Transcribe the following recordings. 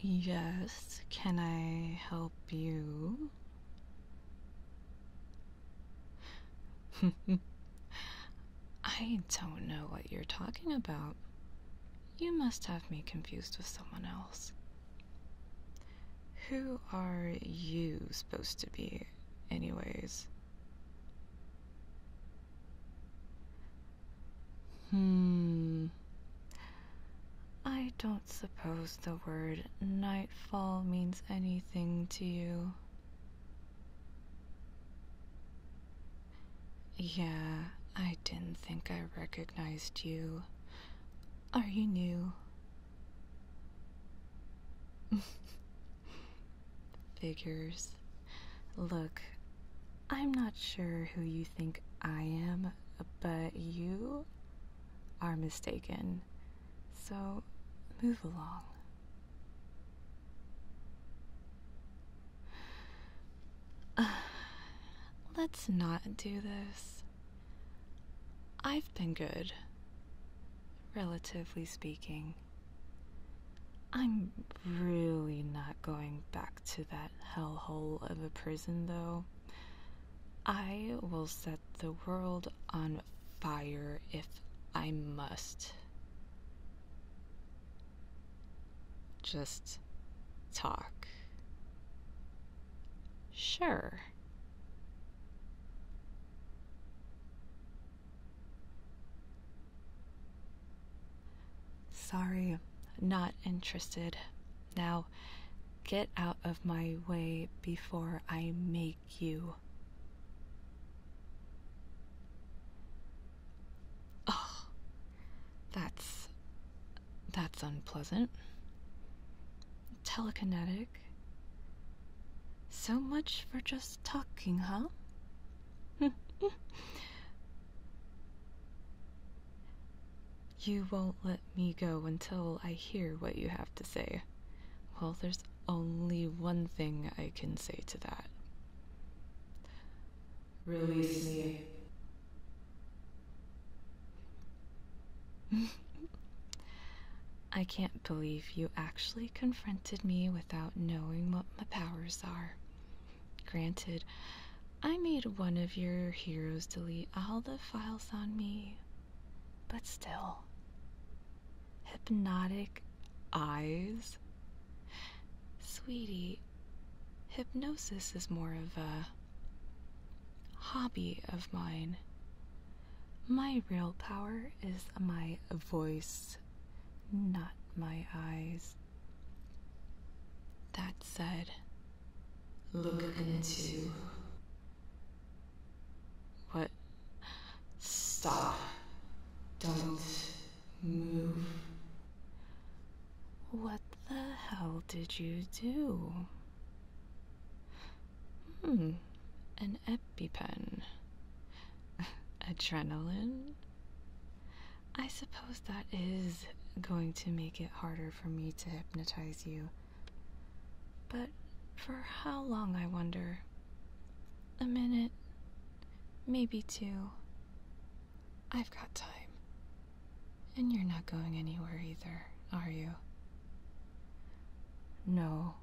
Yes, can I help you? I don't know what you're talking about. You must have me confused with someone else. Who are you supposed to be, anyways? Hmm. I don't suppose the word nightfall means anything to you. Yeah, I didn't think I recognized you. Are you new? Figures. Look, I'm not sure who you think I am, but you are mistaken. So move along. let's not do this. I've been good, relatively speaking. I'm really not going back to that hellhole of a prison, though. I will set the world on fire if I must. Just talk. Sure. Sorry, not interested. Now, get out of my way before I make you. Oh, that's. that's unpleasant. Telekinetic. So much for just talking, huh? You won't let me go until I hear what you have to say. Well, there's only one thing I can say to that. Release me. I can't believe you actually confronted me without knowing what my powers are. Granted, I made one of your heroes delete all the files on me, but still. Hypnotic eyes? Sweetie, hypnosis is more of a hobby of mine. My real power is my voice, not my eyes. That said, look into. What? Stop. Don't move. What the hell did you do? Hmm, an EpiPen. Adrenaline? I suppose that is going to make it harder for me to hypnotize you. But for how long, I wonder? A minute, maybe two. I've got time. And you're not going anywhere either, are you? No,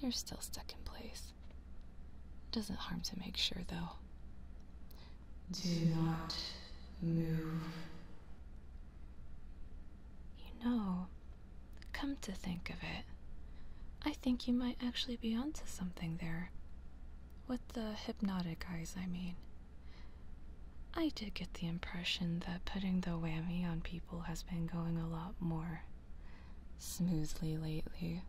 you're still stuck in place. It doesn't harm to make sure, though. Do not move. You know, come to think of it, I think you might actually be onto something there. With the hypnotic eyes, I mean. I did get the impression that putting the whammy on people has been going a lot more smoothly lately.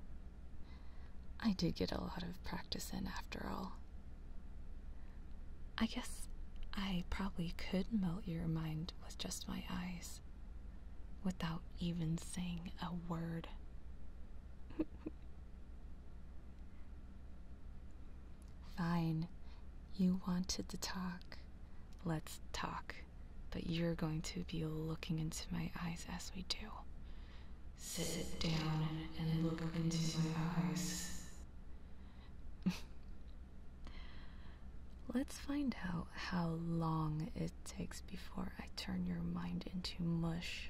I did get a lot of practice in after all. I guess I probably could melt your mind with just my eyes without even saying a word. Fine. You wanted to talk. Let's talk. But you're going to be looking into my eyes as we do. Sit down and look into my eyes. Let's find out how long it takes before I turn your mind into mush.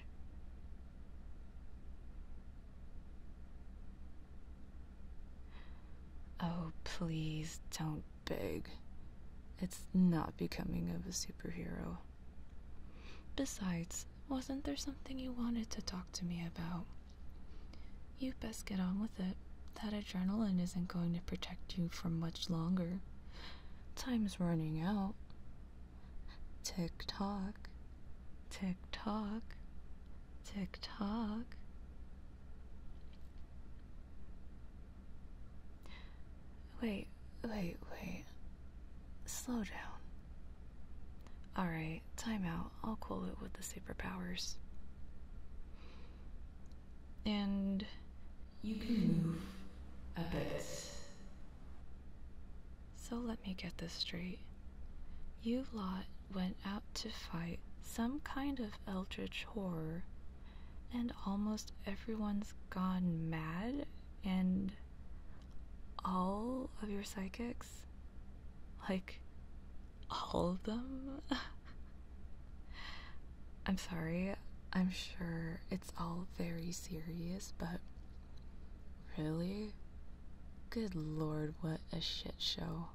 Oh, please don't beg. It's not becoming of a superhero. Besides, wasn't there something you wanted to talk to me about? You best get on with it. That adrenaline isn't going to protect you for much longer. Time's running out. Tick tock, tick tock, tick tock. Wait, wait, wait. Slow down. Alright, time out. I'll cool it with the superpowers. And you can move a bit. So let me get this straight. You lot went out to fight some kind of eldritch horror and almost everyone's gone mad, and all of your psychics, like all of them. I'm sorry, I'm sure it's all very serious, but really? Good lord, what a shit show.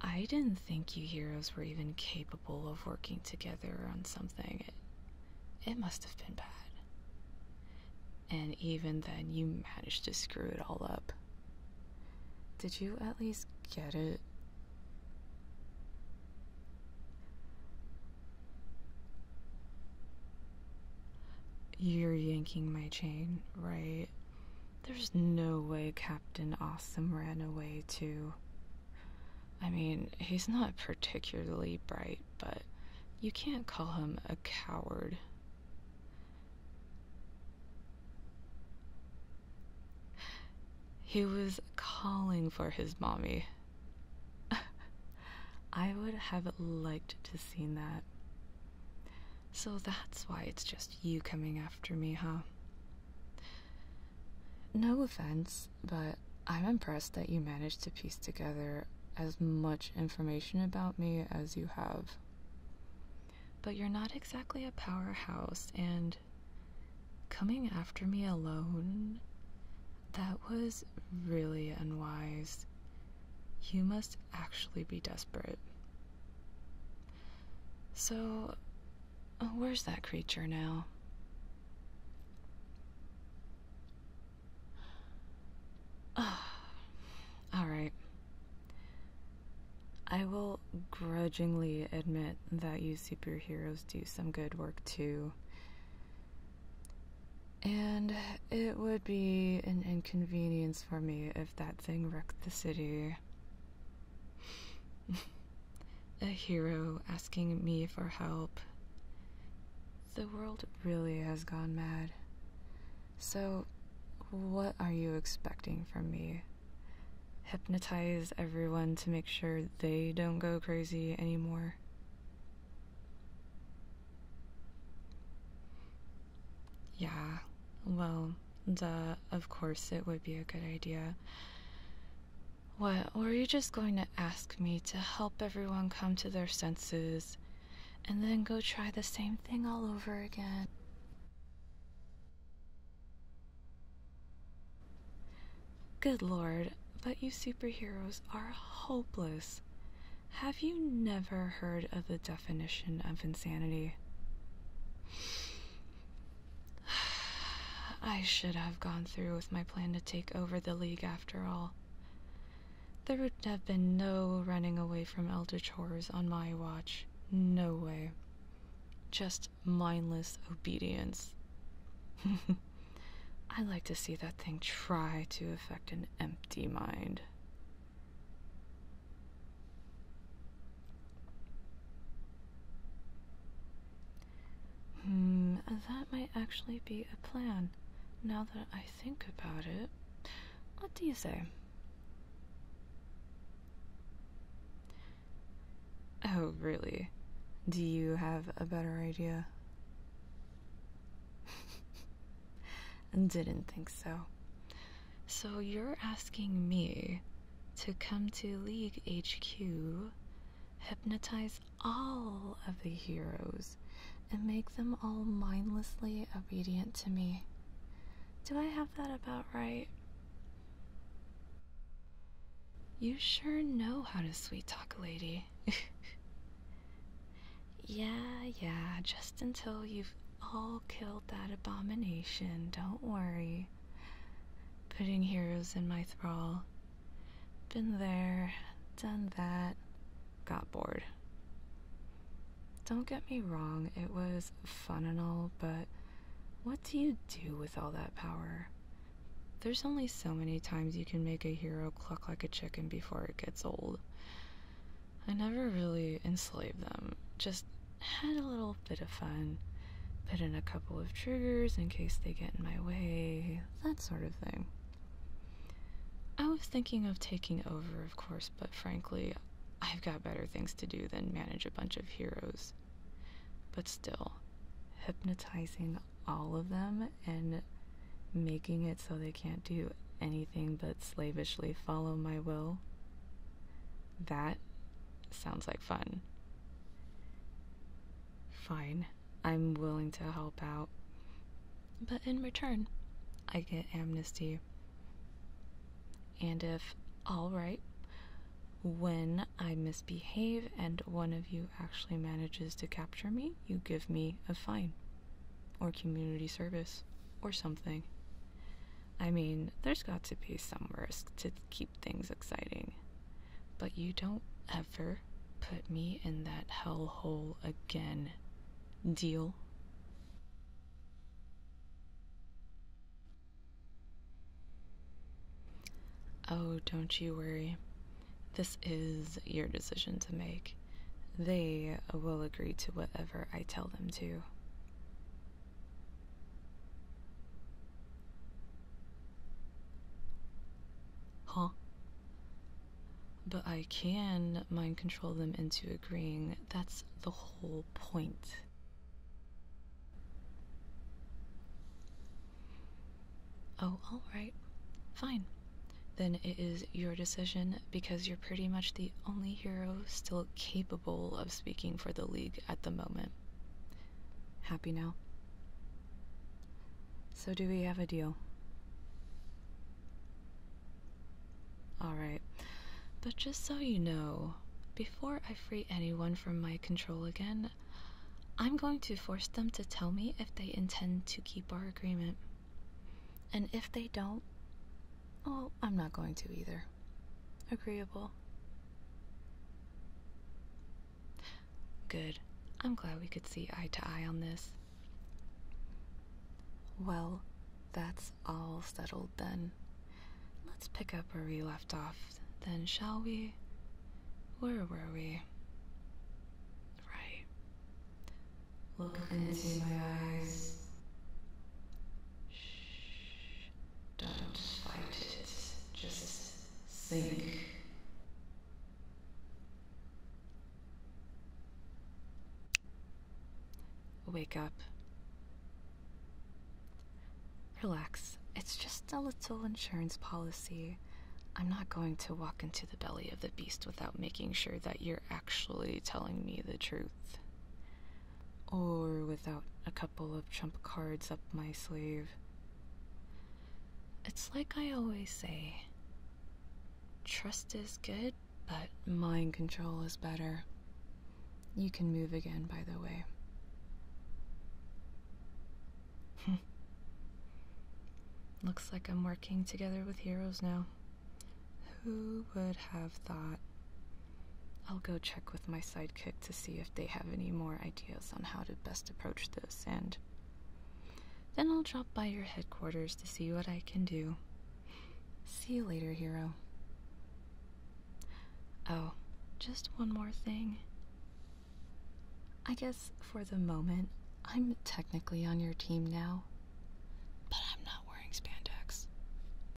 I didn't think you heroes were even capable of working together on something. It must have been bad. And even then, you managed to screw it all up. Did you at least get it? You're yanking my chain, right? There's no way Captain Awesome ran away, too. I mean, he's not particularly bright, but you can't call him a coward. He was calling for his mommy. I would have liked to seen that. So that's why it's just you coming after me, huh? No offense, but I'm impressed that you managed to piece together as much information about me as you have. But you're not exactly a powerhouse, and coming after me alone, that was really unwise. You must actually be desperate. So, Oh, where's that creature now? Oh, all right. I will grudgingly admit that you superheroes do some good work too. And it would be an inconvenience for me if that thing wrecked the city. a hero asking me for help. The world really has gone mad. So, what are you expecting from me? Hypnotize everyone to make sure they don't go crazy anymore. Yeah, well, duh, of course it would be a good idea. What, were you just going to ask me to help everyone come to their senses and then go try the same thing all over again? Good lord, but you superheroes are hopeless. Have you never heard of the definition of insanity? I should have gone through with my plan to take over the league after all. There would have been no running away from Eldritch Horrors on my watch. No way. Just mindless obedience. I like to see that thing try to affect an empty mind. Hmm, that might actually be a plan. Now that I think about it, what do you say? Oh, really? Do you have a better idea? Didn't think so. So you're asking me to come to League HQ, hypnotize all of the heroes, and make them all mindlessly obedient to me. Do I have that about right? You sure know how to sweet talk a lady. yeah, yeah, just until you've all killed that abomination, don't worry. Putting heroes in my thrall. Been there, done that, got bored. Don't get me wrong, it was fun and all, but what do you do with all that power? There's only so many times you can make a hero cluck like a chicken before it gets old. I never really enslaved them, just had a little bit of fun. Put in a couple of triggers in case they get in my way, that sort of thing. I was thinking of taking over, of course, but frankly, I've got better things to do than manage a bunch of heroes. But still, hypnotizing all of them and making it so they can't do anything but slavishly follow my will that sounds like fun. Fine, I'm willing to help out. But in return, I get amnesty. And if all right, when I misbehave and one of you actually manages to capture me, you give me a fine or community service or something. I mean, there's got to be some risk to keep things exciting. But you don't ever put me in that hellhole again. Deal? Oh, don't you worry. This is your decision to make. They will agree to whatever I tell them to. Huh? But I can mind control them into agreeing. That's the whole point. Oh, alright. Fine. Then it is your decision because you're pretty much the only hero still capable of speaking for the League at the moment. Happy now? So, do we have a deal? Alright, but just so you know, before I free anyone from my control again, I'm going to force them to tell me if they intend to keep our agreement. And if they don't, well, I'm not going to either. Agreeable. Good. I'm glad we could see eye to eye on this. Well, that's all settled then. Let's pick up where we left off, then, shall we? Where were we? Right. Look into my eyes. Shh. Don't fight it, just sink. Wake up. Relax. It's just a little insurance policy. I'm not going to walk into the belly of the beast without making sure that you're actually telling me the truth or without a couple of trump cards up my sleeve. It's like I always say trust is good, but mind control is better. You can move again, by the way. Looks like I'm working together with heroes now. Who would have thought? I'll go check with my sidekick to see if they have any more ideas on how to best approach this, and then I'll drop by your headquarters to see what I can do. See you later, hero. Oh, just one more thing. I guess for the moment, I'm technically on your team now, but I'm not wearing spandex.